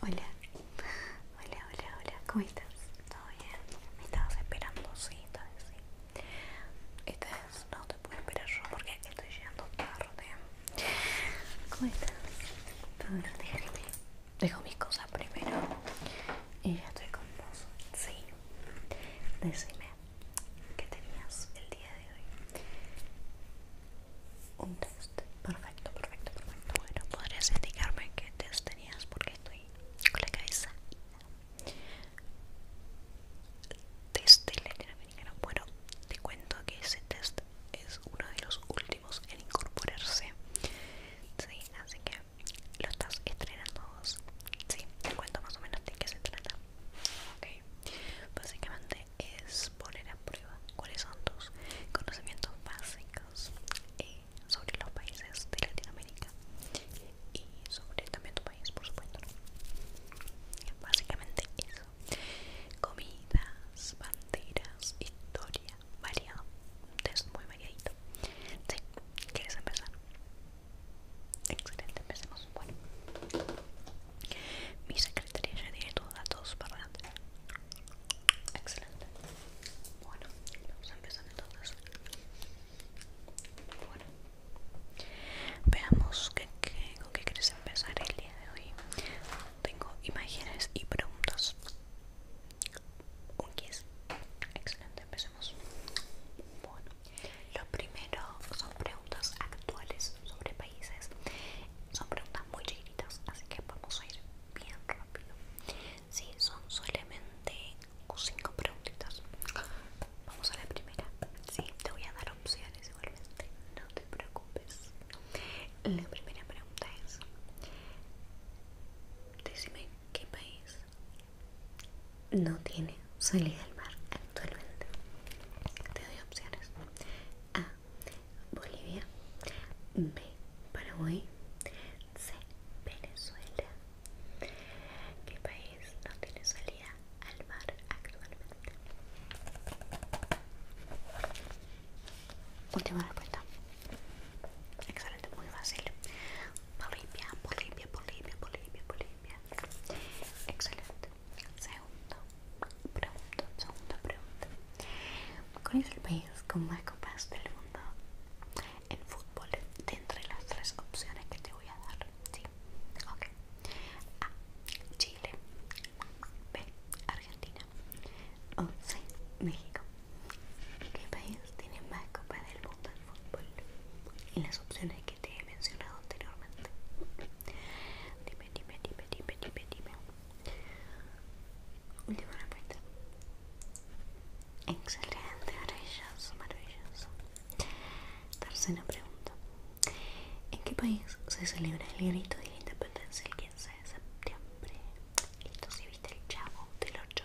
Hola, hola, hola, hola, ¿cómo estás? ¿Todo bien? ¿Me estabas esperando? Sí, todavía sí. ¿Y no te puedo esperar yo porque estoy llegando tarde. ¿Cómo estás? Todo bien, déjame. Dejo mis cosas primero y ya estoy con vos. Sí, decime, que tenías el día de hoy. Un test. Perfecto, perfecto, perfecto. Bueno, podrías indicarme qué test tenías porque estoy con la cabeza. Test del latinoamericano. Bueno, te cuento que ese test es uno de los últimos en incorporarse. Sí, así que lo estás estrenando vos. Sí, te cuento más o menos de qué se trata. Ok, Básicamente es poner a prueba cuáles son tus conocimientos básicos eh, sobre los países de Latinoamérica y sobre también tu país, por supuesto. Básicamente eso. Comidas, banderas, historia, variado. Es muy variadito. Sí, ¿quieres empezar? Excelente, empecemos. Bueno, mi secretaria ya tiene los datos, para adelante Excelente. Bueno, vamos a empezar entonces. Bueno, veamos qué, con qué quieres empezar el día de hoy. Tengo imágenes y preguntas. Un 10. Excelente, empecemos. Bueno. Lo primero son preguntas actuales sobre países. Son preguntas muy chiquitas así que vamos a ir bien rápido. Sí, son solamente cinco preguntitas. Vamos a la primera. Sí, te voy a dar opciones igualmente. No te preocupes. La primera pregunta es: Decime qué país no tiene salida al mar actualmente. Te doy opciones. A. Bolivia. B. Paraguay. C. Venezuela. ¿Qué país no tiene salida al mar actualmente? Última respuesta. Excelente, muy fácil. Bolivia, Bolivia, Bolivia, Bolivia, Bolivia. Excelente. Segundo, pregunta, segunda pregunta. ¿Cuál es el país con más copas del mundo en fútbol de entre las tres opciones que te voy a dar? Sí. Ok. A. Chile. B. Argentina. O C. México. ¿Qué país tiene más copas del mundo en fútbol? Y las opciones que te mencionado anteriormente. Dime, dime, dime, dime, dime, dime. Última Excelente, maravilloso, maravilloso. Tercera pregunta. ¿En qué país se celebra el grito de la independencia el 15 de septiembre? Esto si viste el chavo del 8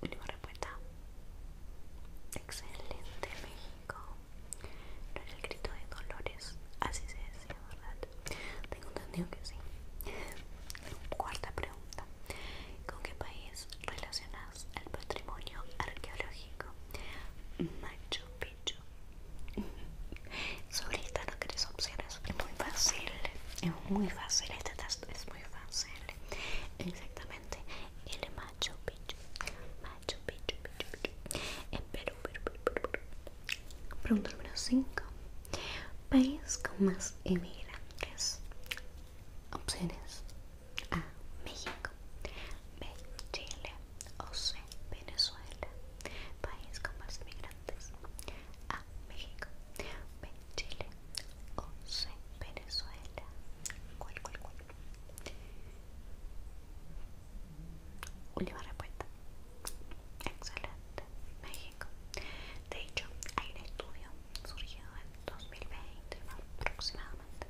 Última respuesta. Excelente, México. No es el grito de Dolores. Así se decía, ¿verdad? Tengo entendido que sí. Cuarta pregunta. ¿Con qué país relacionas el patrimonio arqueológico? Machu Picchu. Sobre esta no opciones. Es muy fácil. Es muy fácil. Este test es muy fácil. Exactamente. El Machu Picchu, Macho picho, picho, picho. en Perú. Pregunta número 5. País con más inmigrantes. Opciones. A. México. B. Chile. O C. Venezuela. País con más inmigrantes. A. México. B. Chile. 11 Venezuela ¿Cuál, cuál, cuál? Última respuesta Excelente México De hecho, hay un estudio surgido en 2020 aproximadamente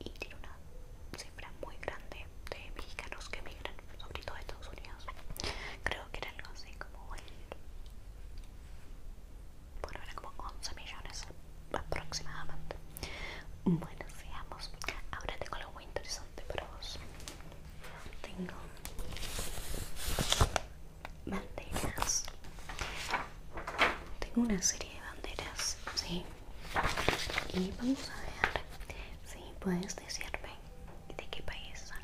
y tiene una cifra muy grande de mexicanos que emigran, sobre todo a Estados Unidos. Creo que era algo así como el por era como 11 millones aproximadamente. Bueno, sigamos. Ahora tengo algo interesante para vos. Tengo banderas. Tengo una serie de banderas, ¿sí? Y vamos a ver si puedes decirme de qué país son.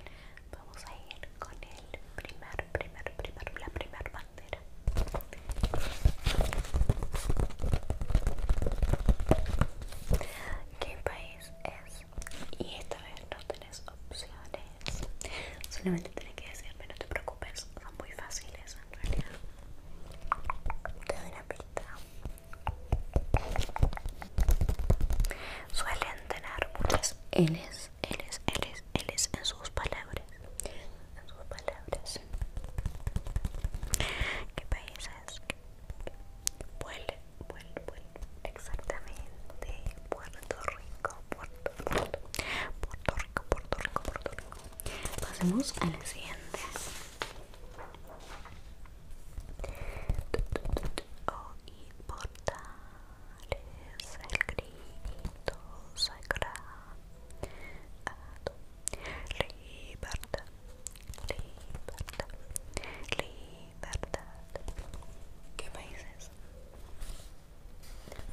Vamos a ir con el primer, primer, primer, la primera ¿Qué país es? Y esta vez no tenés opciones. Solamente tenés que decirme, no te preocupes, son muy fáciles en realidad. Te doy una pista. Suelen tener muchas L's él es, él es, él es, en sus palabras. En sus palabras. ¿Qué país es? Vuelve, vuelve, vuelve. Exactamente. Puerto Rico, Puerto, Puerto, Puerto Rico, Puerto Rico, Puerto Rico. Pasemos a la siguiente. O importa el grito sagrado. Libertad, libertad, libertad. ¿Qué país es?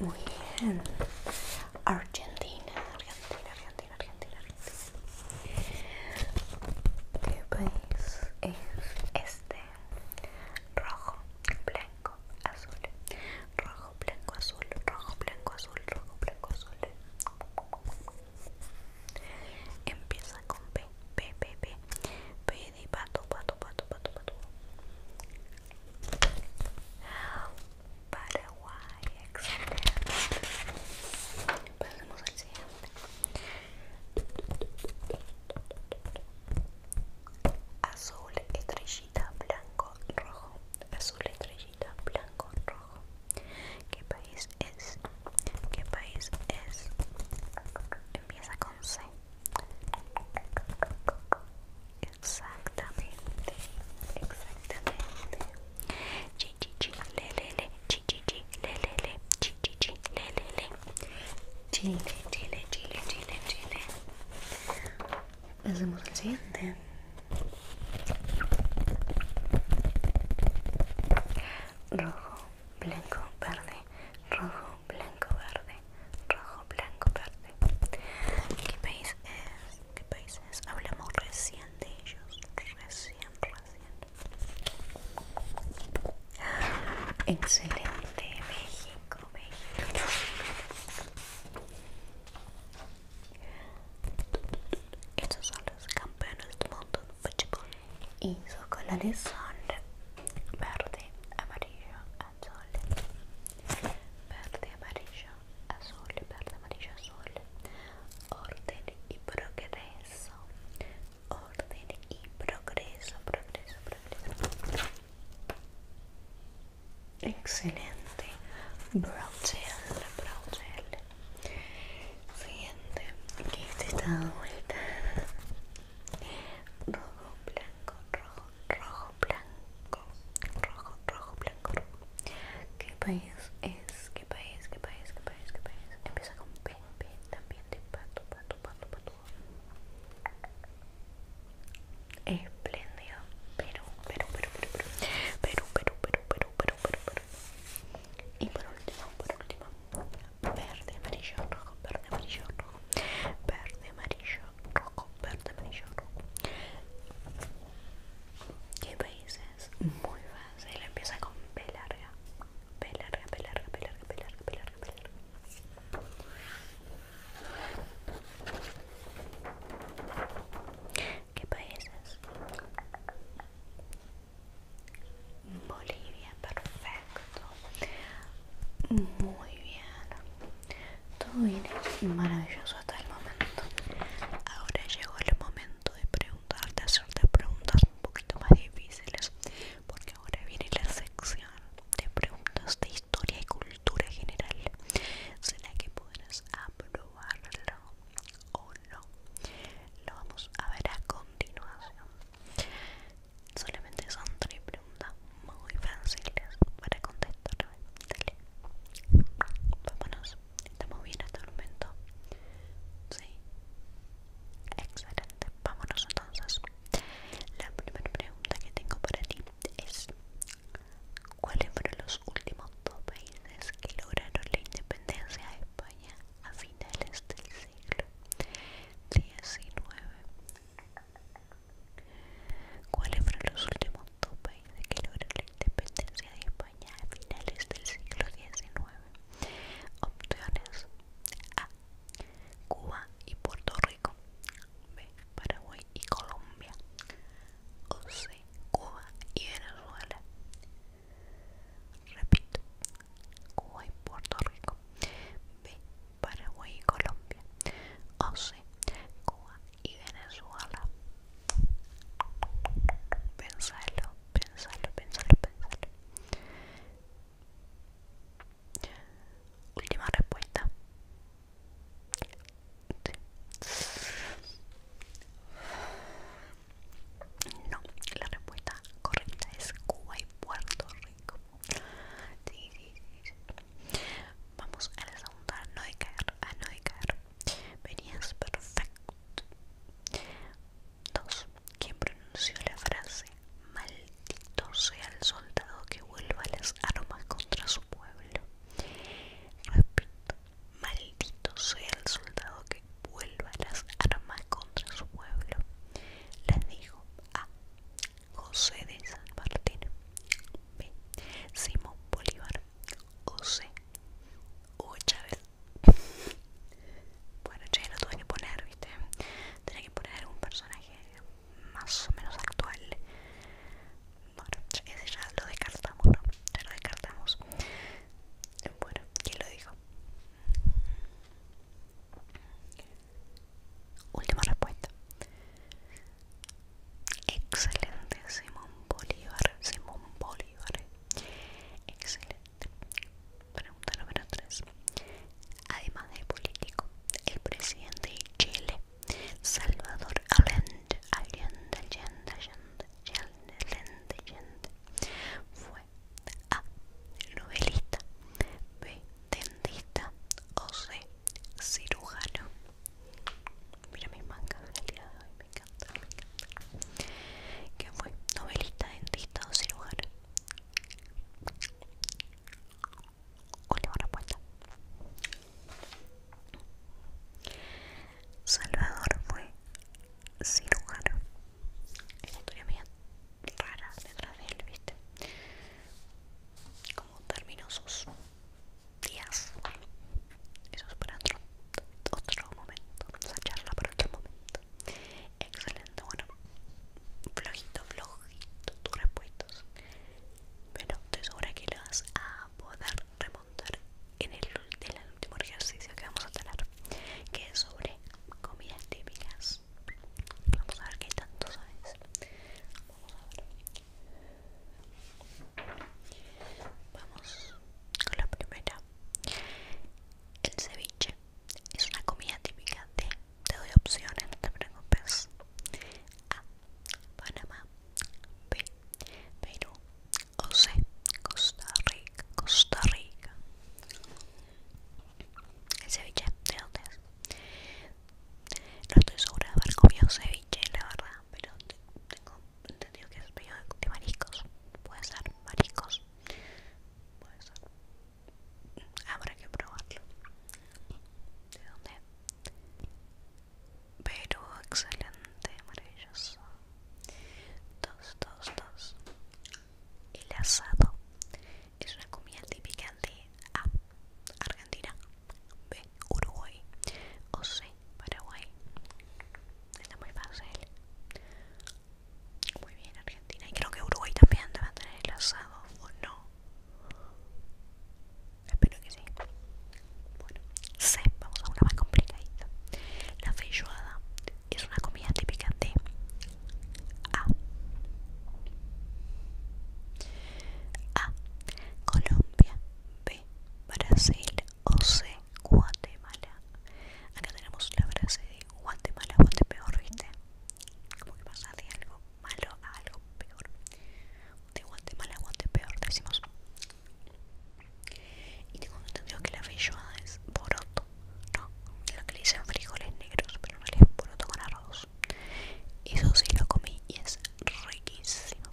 Muy bien. Argentina, Argentina, Argentina, Argentina, ¿Qué país es este? Rojo, azul, rojo, blanco, azul, rojo, blanco, azul, rojo, blanco, azul. Empieza con P, P, P, P, P de pato, pato, pato, pato, pato. Paraguay, excelente. Pasemos al siguiente. Azul, estrella blanco, rojo, azul, estrellita, blanco, rojo. ¿Qué país es? ¿Qué país es? Empieza con C. Exactamente, exactamente. Chichichi, lelele, chichichi, Chile, Chile, Chile, Chile, Chile. Hacemos el siguiente. Rojo, blanco, verde. Rojo, blanco, verde. Rojo, blanco, verde. ¿Qué país es? ¿Qué país es? Hablamos recién de ellos. Recién, recién. Excelente, México go Estos son los campeones del mundo pues, Y sus colores son verde, amarillo, azul. Verde, amarillo, azul. Verde, amarillo, azul. Orden y progreso. Orden y progreso, progreso, progreso. Excelente. Brow gel, Siguiente. ¿Qué este está vuelta. Rojo, blanco, rojo, rojo, blanco. Rojo, rojo, blanco, rojo. ¿Qué país es? ¿Qué país? ¿Qué país? ¿Qué país? ¿Qué país? Empieza con P, P también de pato, pato, pato, pato. Espléndido. Pero, pero, pero, pero, pero, pero, pero, pero, Y por último, por último. Verde, amarillo, rojo, verde, amarillo, rojo. Verde, amarillo, rojo, verde, amarillo, rojo. ¿Qué países? Muy fácil. Empieza con pelarga. larga. P larga, pelarga, larga, P larga, ¿Qué países? Bolivia, perfecto. Muy bien. Todo bien maravilloso hasta el momento. Ahora llegó el momento de preguntarte, hacerte preguntas un poquito más difíciles. Porque ahora viene la sección de preguntas de historia y cultura general. ¿Será que puedes aprobarlo o no? Lo vamos a ver a continuación. Solamente son tres preguntas muy fáciles para contestar. Dale. Vámonos. ¿Estamos bien hasta el momento? Sí. Excelente. Vámonos entonces la primera pregunta que tengo para ti es ¿Cuáles fueron los últimos dos países que lograron la independencia de España a finales del siglo XIX? ¿Cuáles fueron los últimos dos países que lograron la independencia de España a finales del siglo XIX? Opciones A. Cuba y Puerto Rico. B. Paraguay y Colombia. O C. Cuba y Venezuela. Repito. Cuba y Puerto Rico. B. Paraguay y Colombia. O C. Cuba y Venezuela. Pensalo, pensalo, pensalo, pensalo. Última respuesta. No, la respuesta correcta es Cuba y Puerto Rico. Sí, sí, Vamos a la segunda, a no caer, a no Venías perfecto. Dos. ¿Quién pronunció la frase? maldito sea el soldado que vuelva las armas contra su pueblo. Repito, maldito sea el soldado que vuelva las armas contra su pueblo. Les dijo A. José de San Martín. B. Simón Bolívar. O C. Chávez. Bueno, ya lo tuve que poner, ¿viste? Tenía que poner algún personaje más o menos actual bueno ese ya lo descartamos ya lo descartamos bueno quién lo dijo última respuesta excelente Simón Bolívar Simón Bolívar excelente Pregunta número 3. Además de político, el presidente de Chile, Salvador Allende, Allende, Allende, Allende, Allende, Allende, Allende fue A. Novelista, B. Dentista o C. Cirujano. Mira mis mangas del me encanta, me fue? ¿Novelista, dentista o cirujano? Última respuesta. Salvador fue cirujano. Es historia media rara detrás de él, ¿viste? Como terminó sus días. Eso es para otro, otro momento. Esa charla para otro momento. Excelente, bueno flojito, flojito tus respuestos Pero estoy segura que lo vas a poder remontar en el, último ejercicio que vamos a tener, que es sobre comidas típicas. Vamos a ver qué tanto sabes. Vamos a ver. Vamos con la primera. El ceviche es una comida típica de te doy opciones, no te preocupes. A. Panamá. B. Perú. O C. Costa Rica. Costa Rica. El ceviche, ¿de dónde es? No estoy segura de haber comido ceviche, la verdad, pero tengo entendido que es de mariscos. Puede ser mariscos. Puede ser habrá que probarlo. ¿De dónde? Pero excelente, maravilloso. Dos, dos, dos. El asado es una comida típica de A. Argentina, B. Uruguay o C. Paraguay. Está muy fácil. Muy bien, Argentina. Y creo que Uruguay también debe tener el asado, ¿o no? Espero que sí. Bueno, C, vamos a una más complicadita. La feijoada es una comida típica de A. A. Colombia. B. Brasil. O C. Guatemala. Acá tenemos la frase de Guatemala, peor, ¿viste? como que pasa de algo malo a algo peor de guante malo a guante peor decimos y tengo entendido que la feijoada es boroto no lo que le dicen frijoles negros pero no le es poroto con arroz eso sí lo comí y es riquísimo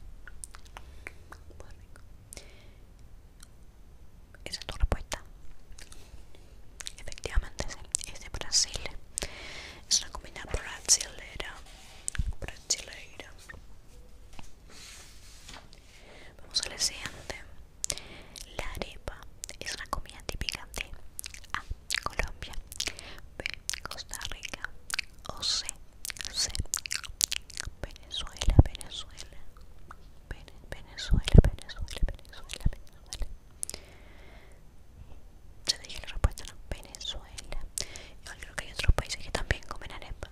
esa es tu respuesta. Efectivamente, es de Brasil. Es una comida brasilera. Brasileira. Vamos a la siguiente. La arepa es una comida típica de A. Colombia. B. Costa Rica. O C. Venezuela. Venezuela, Venezuela, Venezuela, Venezuela, Venezuela. Ya dije la respuesta, en Venezuela. Yo creo que hay otros países que también comen arepas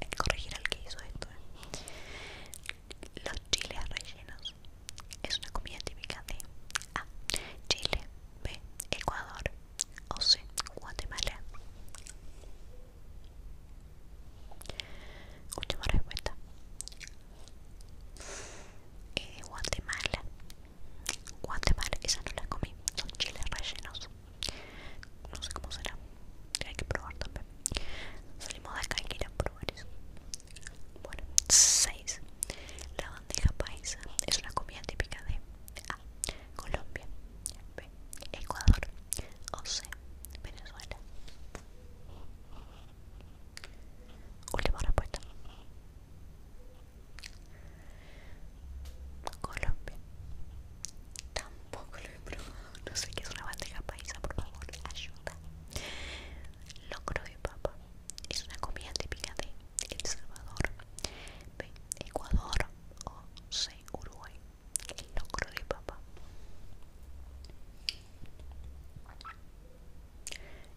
Hay corregir al que hizo esto. ¿eh? Los chiles rellenos. Es una comida típica de A. Ah, Chile. B. Ecuador. O C. Guatemala. Última respuesta. Guatemala. Guatemala, esa no la comí. Son chiles rellenos. No sé cómo será. Hay que probar también. Salimos de acá y ir a probar eso. Bueno, 6. La bandeja paisa es una comida típica de A. Colombia. Ecuador. O Venezuela. Última respuesta. Colombia. Tampoco lo he probado. No sé qué es una bandeja paisa, por favor, ayuda. Locro de papa. Es una comida típica de El Salvador, Ecuador o Uruguay el locro de papá.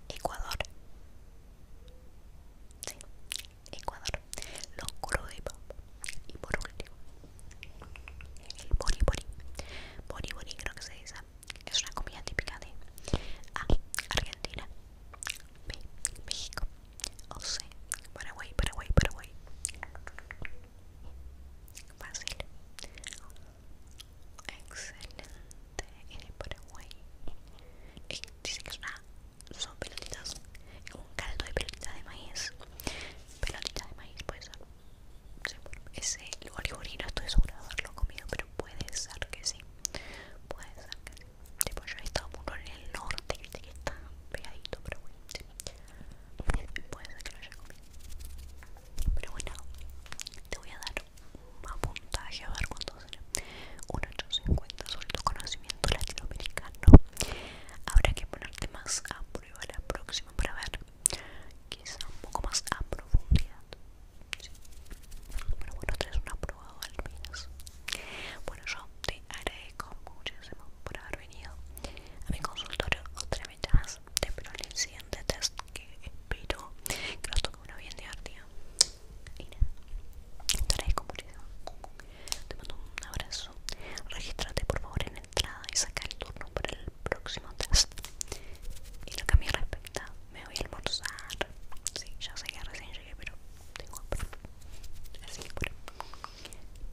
Ecuador. Sí, Ecuador. Locro de papá. Y por último, el bori bori. Bori bori creo que se dice. Es una comida típica de A. Argentina. B. México. O C. Paraguay, Paraguay, Paraguay fácil excelente en el Paraguay dice que son, pelotitas son pelotitas un caldo de pelotitas de maíz pelotita de maíz puede ser sí, bueno, ese origori estoy seguro de haberlo comido pero puede ser que sí puede ser que sí Después yo he estado mucho en el norte que está pegadito pero bueno puede ser que lo haya comido pero bueno te voy a dar un puntaje a ver cuánto será un 850 sobre tu conocimiento latinoamericano habrá que ponerte más a prueba la próxima para ver quizá un poco más a profundidad pero bueno traes un aprobado al menos bueno yo te agradezco muchísimo por haber venido a mi consultorio otra vez cosas en el siguiente test que espero que nos toque una bien divertida. Y nada, como Te mando un abrazo. Regístrate por favor en entrada y saca el turno para el próximo test. Y lo que a mí respecta, me voy a almorzar. Sí, ya sé que recién llegué, pero tengo hambre. Así que bueno,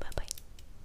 bye bye.